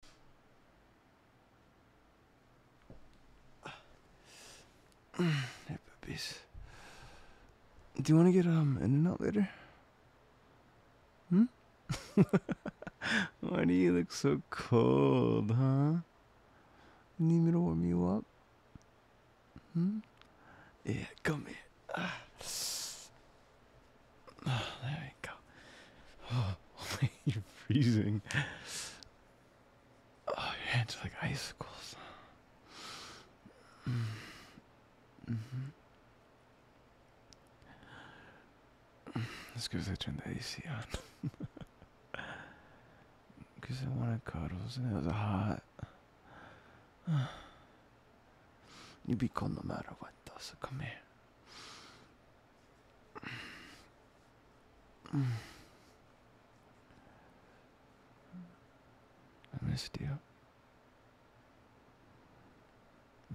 Do you want to get um in and out later? Hmm? Why do you look so cold, huh? Need me to warm you up? Hmm? Yeah, come here. Ah. Oh, there we go. Oh, you're freezing. Oh, your hands are like icicles. Mm. Mm -hmm. That's because I turned the AC on. Because I wanted cuddles and it was hot. You'd be cold no matter what, though, so come here. I missed you.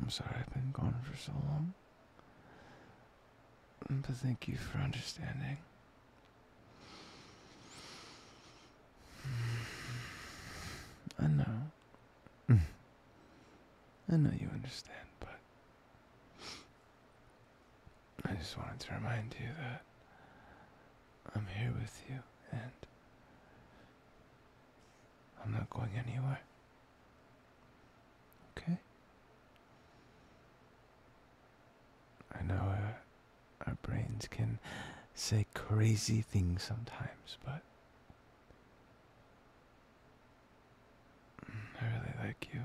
I'm sorry I've been gone for so long. But thank you for understanding. I know. I know you understand, but I just wanted to remind you that I'm here with you and I'm not going anywhere. Okay? I know uh, our, brains can say crazy things sometimes, but I really like you.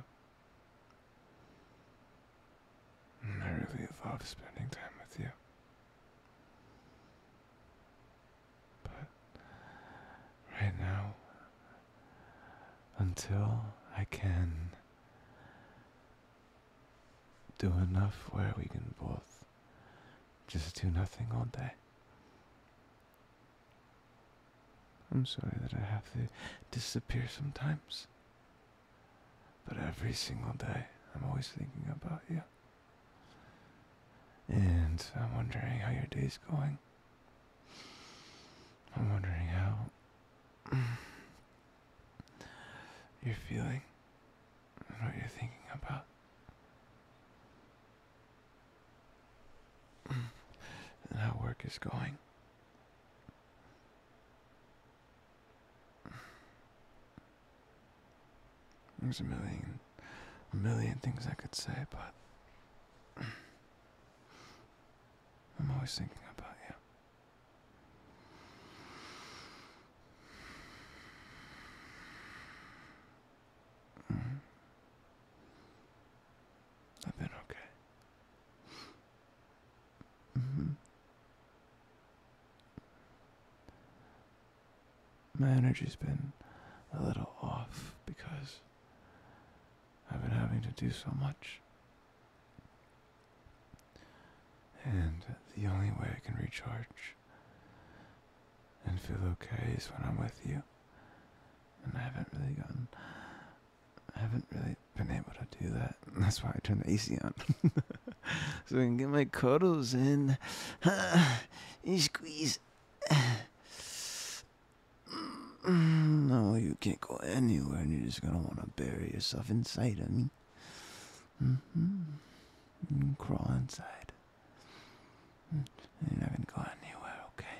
I really love spending time with you. But right now, until I can do enough where we can both just do nothing all day, I'm sorry that I have to disappear sometimes. But every single day, I'm always thinking about you. And I'm wondering how your day's going. I'm wondering how you're feeling and what you're thinking about and how work is going. There's a million, a million things I could say, but I'm always thinking about you. Mm-hmm. I've been okay. Mm-hmm. My energy's been a little off because I've been having to do so much. And the only way I can recharge and feel okay is when I'm with you. And I haven't really gotten I haven't really been able to do that. That's why I turned the AC on. so I can get my cuddles in. you squeeze. No, you can't go anywhere and you're just going to want to bury yourself inside of me. Mm-hmm. And crawl inside. Mm. You're not going to go anywhere, okay?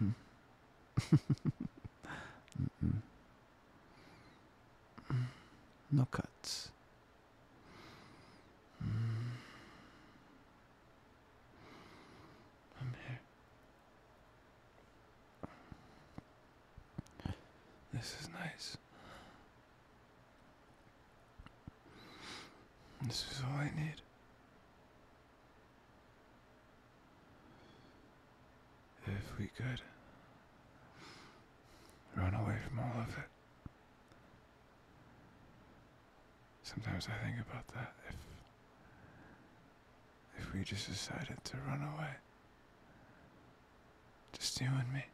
Mm-hmm. No cuts. Mm. I'm here. This is nice. This is all I need. If we could run away from all of it. Sometimes I think about that. If if we just decided to run away, just you and me.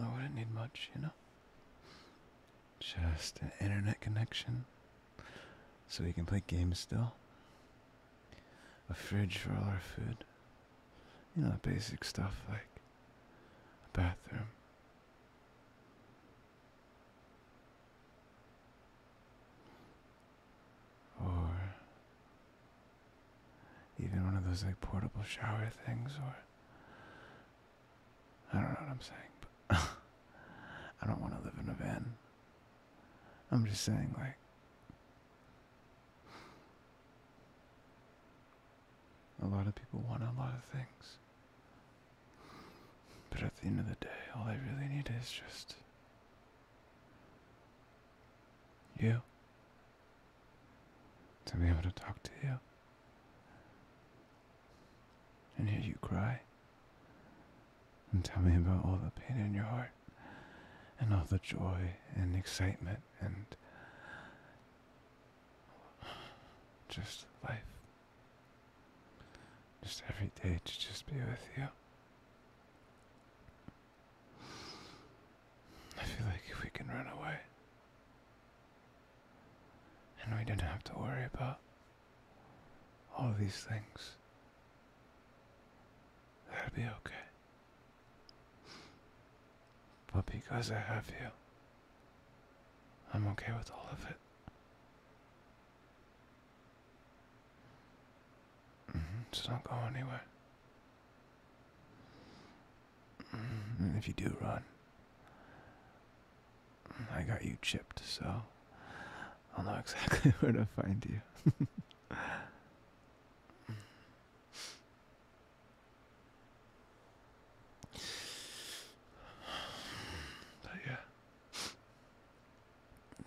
Oh, I wouldn't need much, you know? Just an internet connection so we can play games still. A fridge for all our food. You know, basic stuff like a bathroom. Or even one of those like portable shower things or I don't know what I'm saying, but I don't want to live in a van. I'm just saying like a lot of people want a lot of things. But at the end of the day, all I really need is just you to be able to talk to you and hear you cry and tell me about all the pain in your heart and all the joy and excitement and just life. Just every day to just be with you. I feel like if we can run away, and we don't have to worry about all these things, that'll be okay. But because I have you, I'm okay with all of it. Mm -hmm, it's not go anywhere. Mm, if you do run, I got you chipped, so I'll know exactly where to find you. but yeah,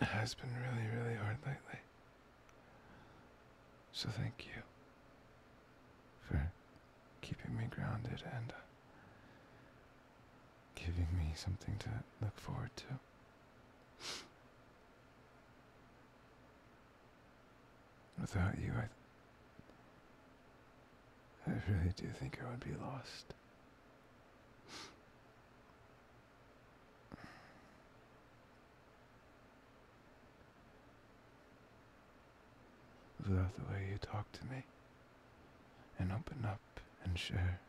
it has been really, really hard lately. So thank you for keeping me grounded and uh, giving me something to look forward to. Without you, I, I really do think I would be lost. Love the way you talk to me and open up and share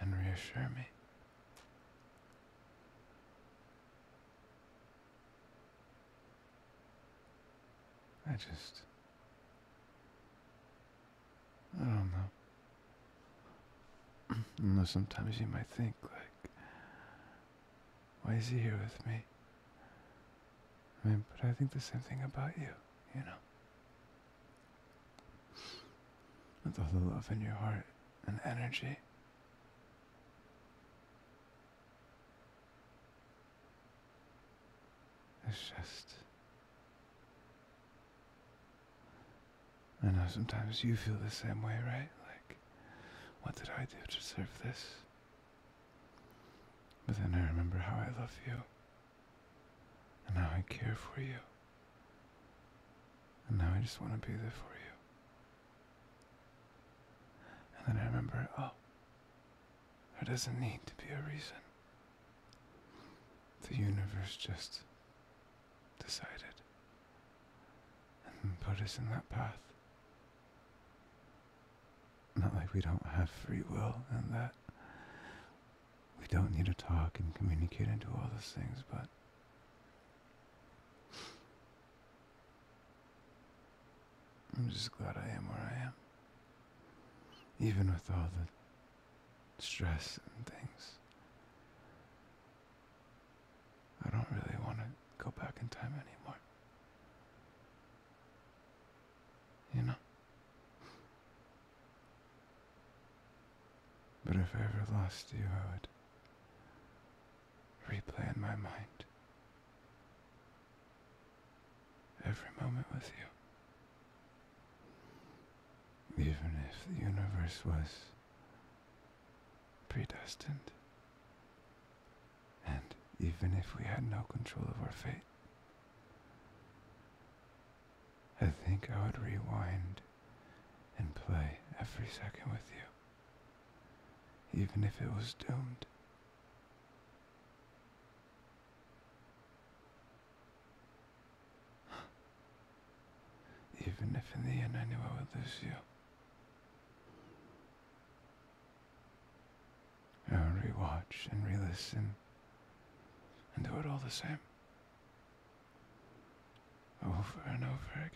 and reassure me. I just. I don't know. Unless sometimes you might think, like, why is he here with me? I mean, but I think the same thing about you, you know. With all the love in your heart and energy. It's just. I know sometimes you feel the same way, right? Like, what did I do to deserve this? But then I remember how I love you, and how I care for you, and now I just want to be there for you. And then I remember, oh, there doesn't need to be a reason. The universe just decided and put us in that path. Not like we don't have free will and that we don't need to talk and communicate and do all those things, but I'm just glad I am where I am. Even with all the stress and things. I don't really want to go back in time anymore. You know? But if I ever lost you, I would replay in my mind every moment with you. Even if the universe was predestined. And even if we had no control of our fate, I think I would rewind and play every second with you, even if it was doomed. even if in the end I knew I would lose you. Uh, rewatch and re-listen and do it all the same over and over again.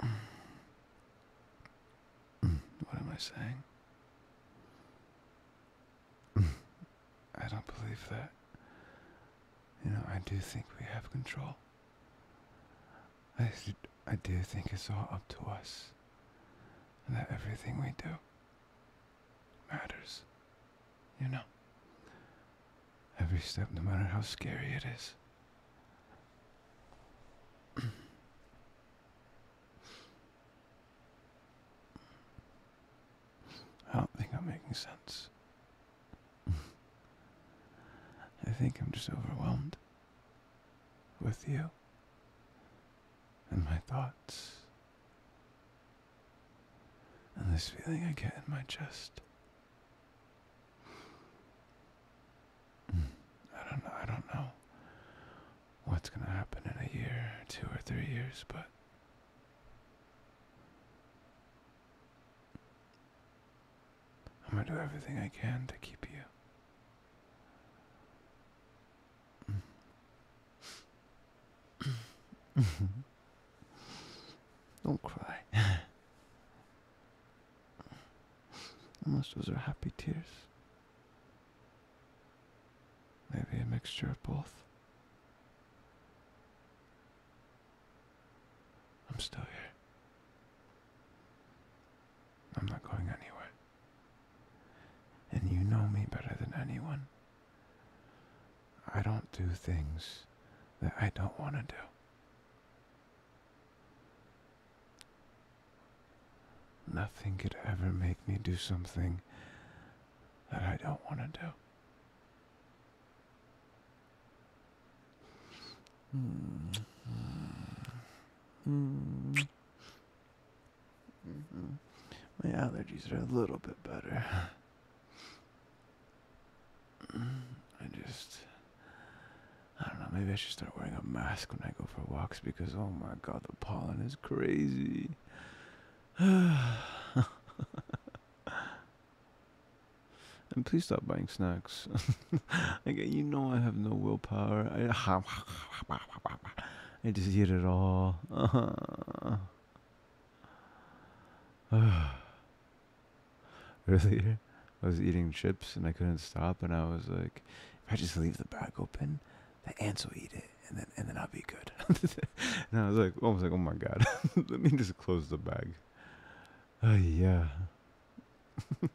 What am I saying? I don't believe that. You know, I do think we have control. I, I do think it's all up to us. And that everything we do matters. You know? Every step, no matter how scary it is. I don't think I'm making sense. I think I'm just overwhelmed with you and my thoughts and this feeling I get in my chest I don't know. I don't know what's going to happen in a year, two or three years, but I'm going to do everything I can to keep you. Don't cry. Unless those are happy tears. Maybe a mixture of both. I'm still here. I'm not going anywhere. And you know me better than anyone. I don't do things that I don't want to do. Nothing could ever make me do something that I don't want to do. Hmm. My allergies are a little bit better. I just. I don't know, maybe I should start wearing a mask when I go for walks because oh my god, the pollen is crazy. and please stop buying snacks. like, you know, I have no willpower. I just eat it all. earlier. I was eating chips and I couldn't stop, and I was like, if I just leave the bag open, the ants will eat it, and then and then I'll be good. and I was like, almost like, oh my god, let me just close the bag. Uh, yeah. I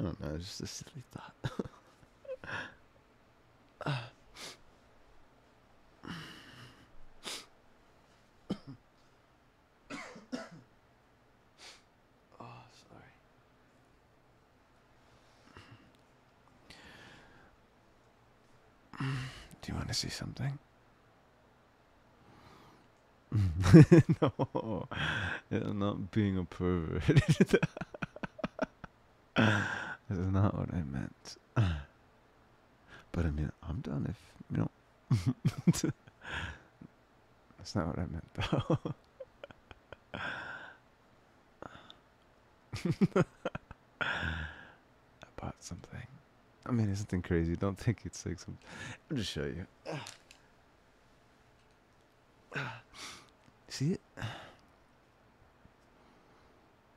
don't know, it's just a silly thought oh, sorry. Do you want to see something? no, it's not being a pervert. this is not what I meant. But I mean, I'm done if you know. That's not what I meant, though. I bought something. I mean, it's nothing crazy. Don't think it's like some. I'll just show you. See it?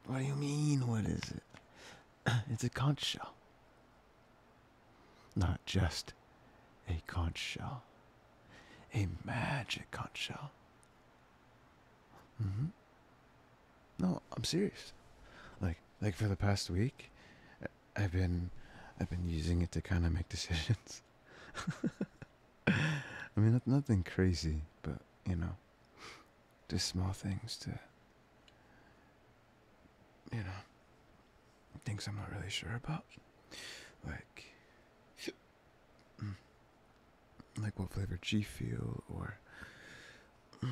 What do you mean? What is it? It's a conch shell. Not just a conch shell, a magic conch shell. Mm-hmm. No, I'm serious. Like, like for the past week, I've been, I've been using it to kind of make decisions. I mean, nothing crazy, but you know, just small things to, you know, things I'm not really sure about. Like, mm, like what flavor G Fuel, or mm,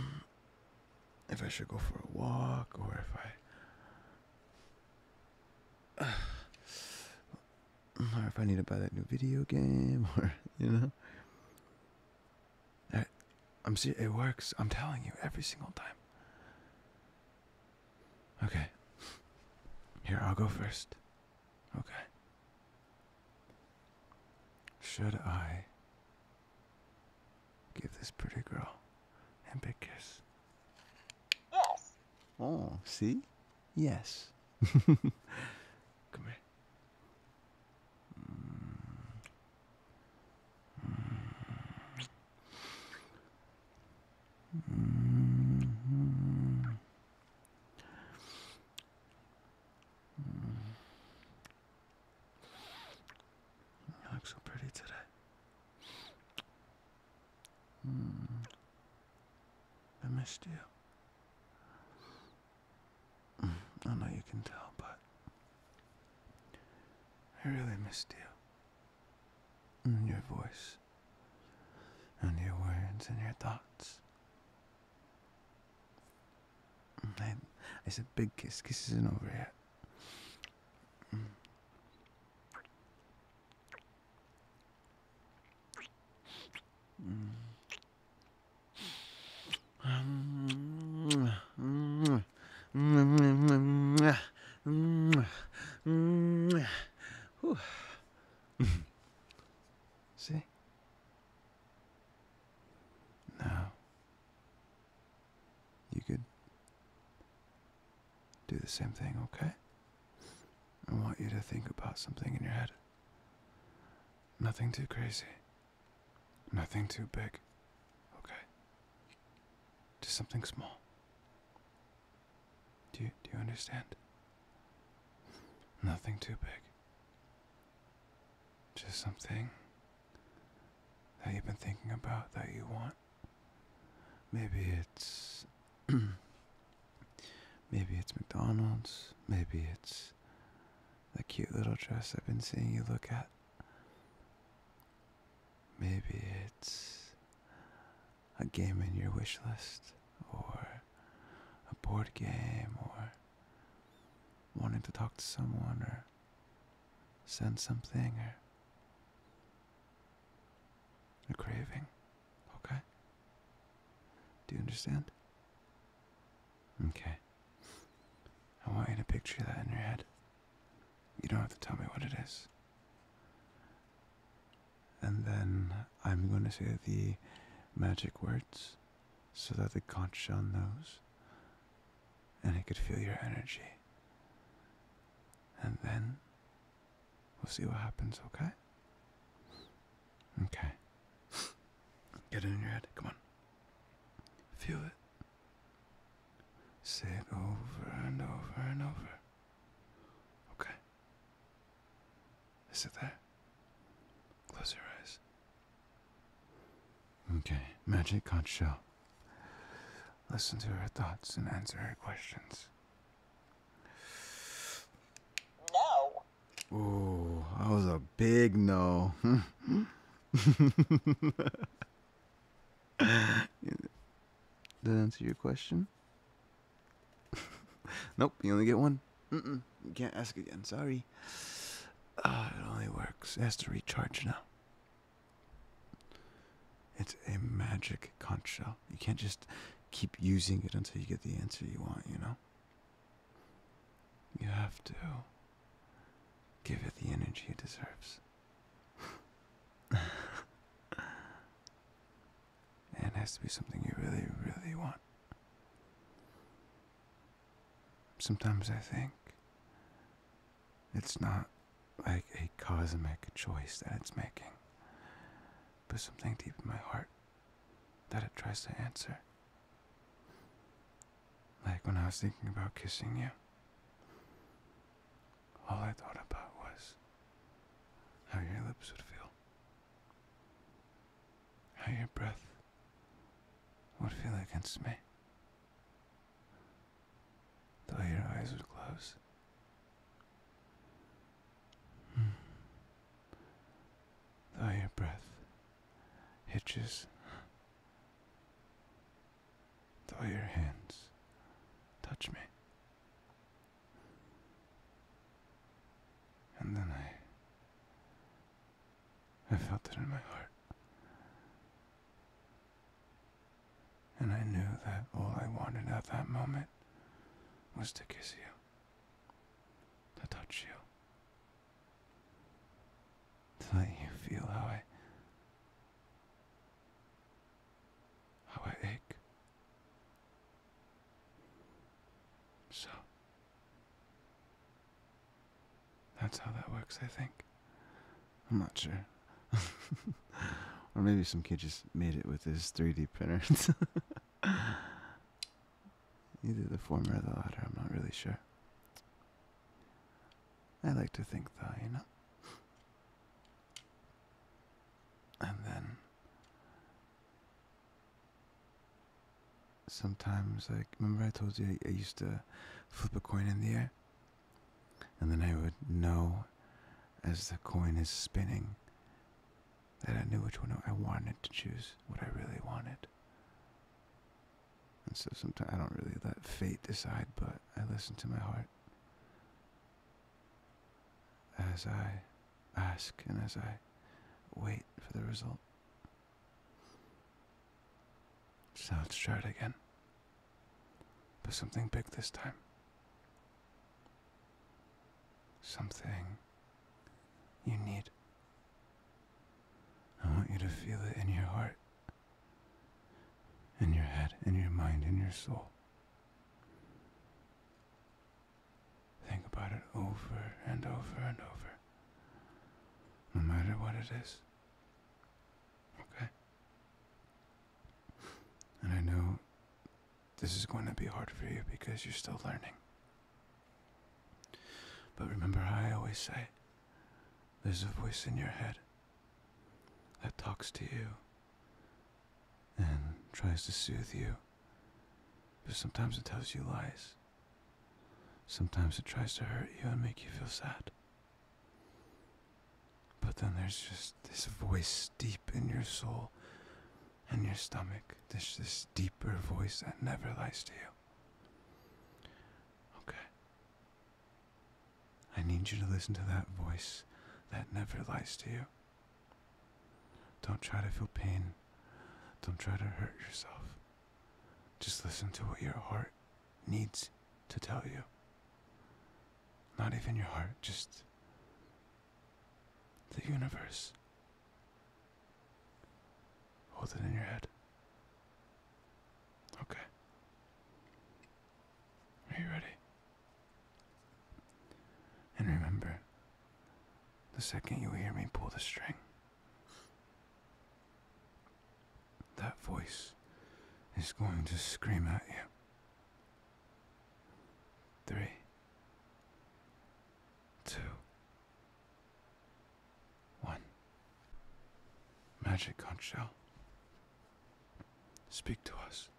if I should go for a walk, or if I. or if I need to buy that new video game, or you know, I, am see it works. I'm telling you every single time. Okay. Here, I'll go first. Okay. Should I give this pretty girl a big kiss? Yes. Oh, see? Yes. Come here. Mm. Mm. Mm-hmm. You look so pretty today. Mm-hmm. I missed you. Mm-hmm. I know you can tell, but I really missed you your voice and your words and your thoughts. It's a big kiss. Kiss isn't over yet. Mm. See? Now, you could do the same thing, okay? I want you to think about something in your head. Nothing too crazy. Nothing too big. Okay? Just something small. Do you, do you understand? Nothing too big. Just something that you've been thinking about that you want. Maybe it's. maybe it's McDonald's. Maybe it's the cute little dress I've been seeing you look at. Maybe it's a game in your wish list or a board game or wanting to talk to someone or send something or a craving, okay? Do you understand? Okay. I want you to picture that in your head. You don't have to tell me what it is. And then I'm going to say the magic words so that the conch shell knows and it could feel your energy. And then we'll see what happens, okay? Okay. Get it in your head. Come on. Feel it. Say it over and over and over. Okay. Is it there? Close your eyes. Okay, magic conch shell. Listen to her thoughts and answer her questions. No. Ooh, that was a big no. Did that answer your question? nope, you only get one. you can't ask again, sorry. Ah, it only works. It has to recharge now. It's a magic conch shell. You can't just keep using it until you get the answer you want, you know? You have to give it the energy it deserves. And it has to be something you really, really want. Sometimes I think it's not like a cosmic choice that it's making, but something deep in my heart that it tries to answer. Like when I was thinking about kissing you, all I thought about was how your lips would feel, how your breath would feel against me. Though your eyes would close. Mm. Though your breath hitches. Though your hands touch me. And then I I felt it in my heart. And I knew that all I wanted at that moment was to kiss you, to touch you, to let you feel how I, how I ache. So, that's how that works, I think. I'm not sure. or maybe some kid just made it with his 3D printer. Either the former or the latter, I'm not really sure. I like to think, though, you know. And then sometimes, like, remember I told you I, I used to flip a coin in the air? And then I would know as the coin is spinning that I knew which one I wanted to choose, what I really wanted. And so sometimes I don't really let fate decide, but I listen to my heart as I ask and as I wait for the result. So let's try it again. But something big this time. Something you need. I want you to feel it in your heart, in your head, in your mind, in your soul. Think about it over and over and over. No matter what it is. Okay? And I know this is going to be hard for you because you're still learning. But remember I always say there's a voice in your head that talks to you and tries to soothe you but sometimes it tells you lies. Sometimes it tries to hurt you and make you feel sad. But then there's just this voice deep in your soul and your stomach. There's this deeper voice that never lies to you. Okay. I need you to listen to that voice that never lies to you. Don't try to feel pain. Don't try to hurt yourself. Just listen to what your heart needs to tell you. Not even your heart, just the universe. Hold it in your head. Okay. Are you ready? And remember, the second you hear me pull the string, that voice is going to scream at you. Three, two, one. Magic conch shell, speak to us.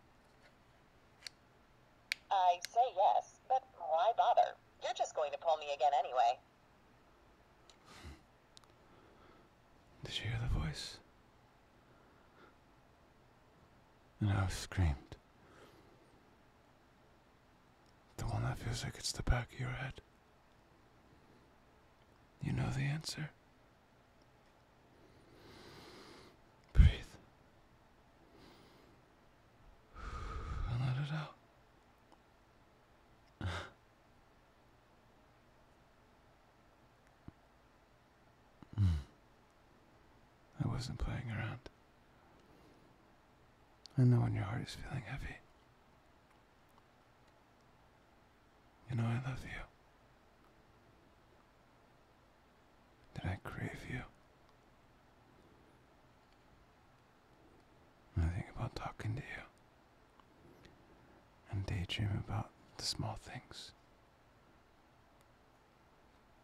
I say yes, but why bother? You're just going to pull me again anyway. Did you hear the voice? And I screamed. The one that feels like it's the back of your head. You know the answer. Breathe. let it out. I wasn't playing around. I know when your heart is feeling heavy. You know I love you that I crave you. When I think about talking to you and daydream about the small things.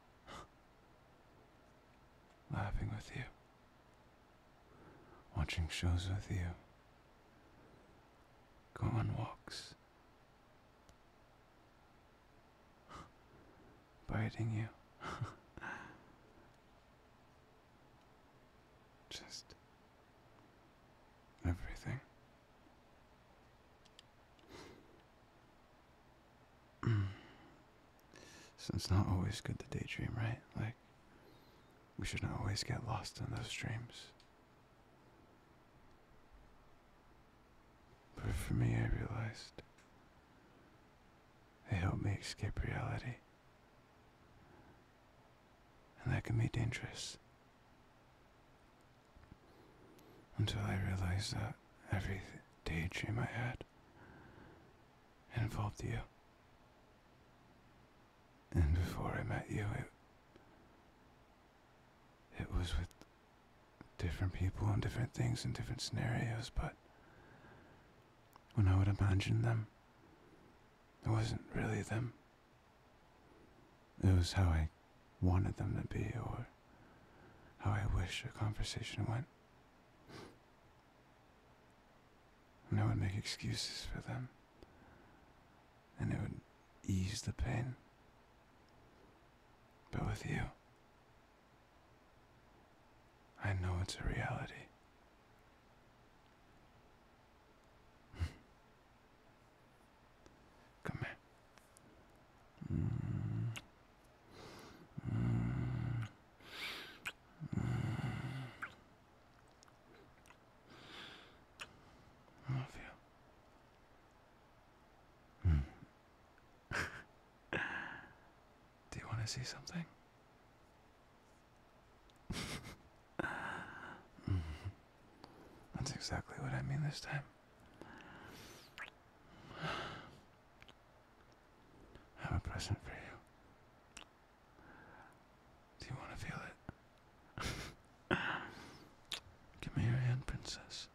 Laughing with you, watching shows with you, going on walks. biting you. Just everything. so it's not always good to daydream, right? Like, we shouldn't always get lost in those dreams. But for me, I realized they help me escape reality. And that can be dangerous. Until I realized that every daydream I had involved you. And before I met you, it was with different people and different things and different scenarios, but when I would imagine them, it wasn't really them. It was how I wanted them to be or how I wish a conversation went. And I would make excuses for them. And it would ease the pain. But with you, I know it's a reality. Come here. love you. Do you want to see something? That's exactly what I mean this time. have a present for you. Do you want to feel it? Give me your hand, princess.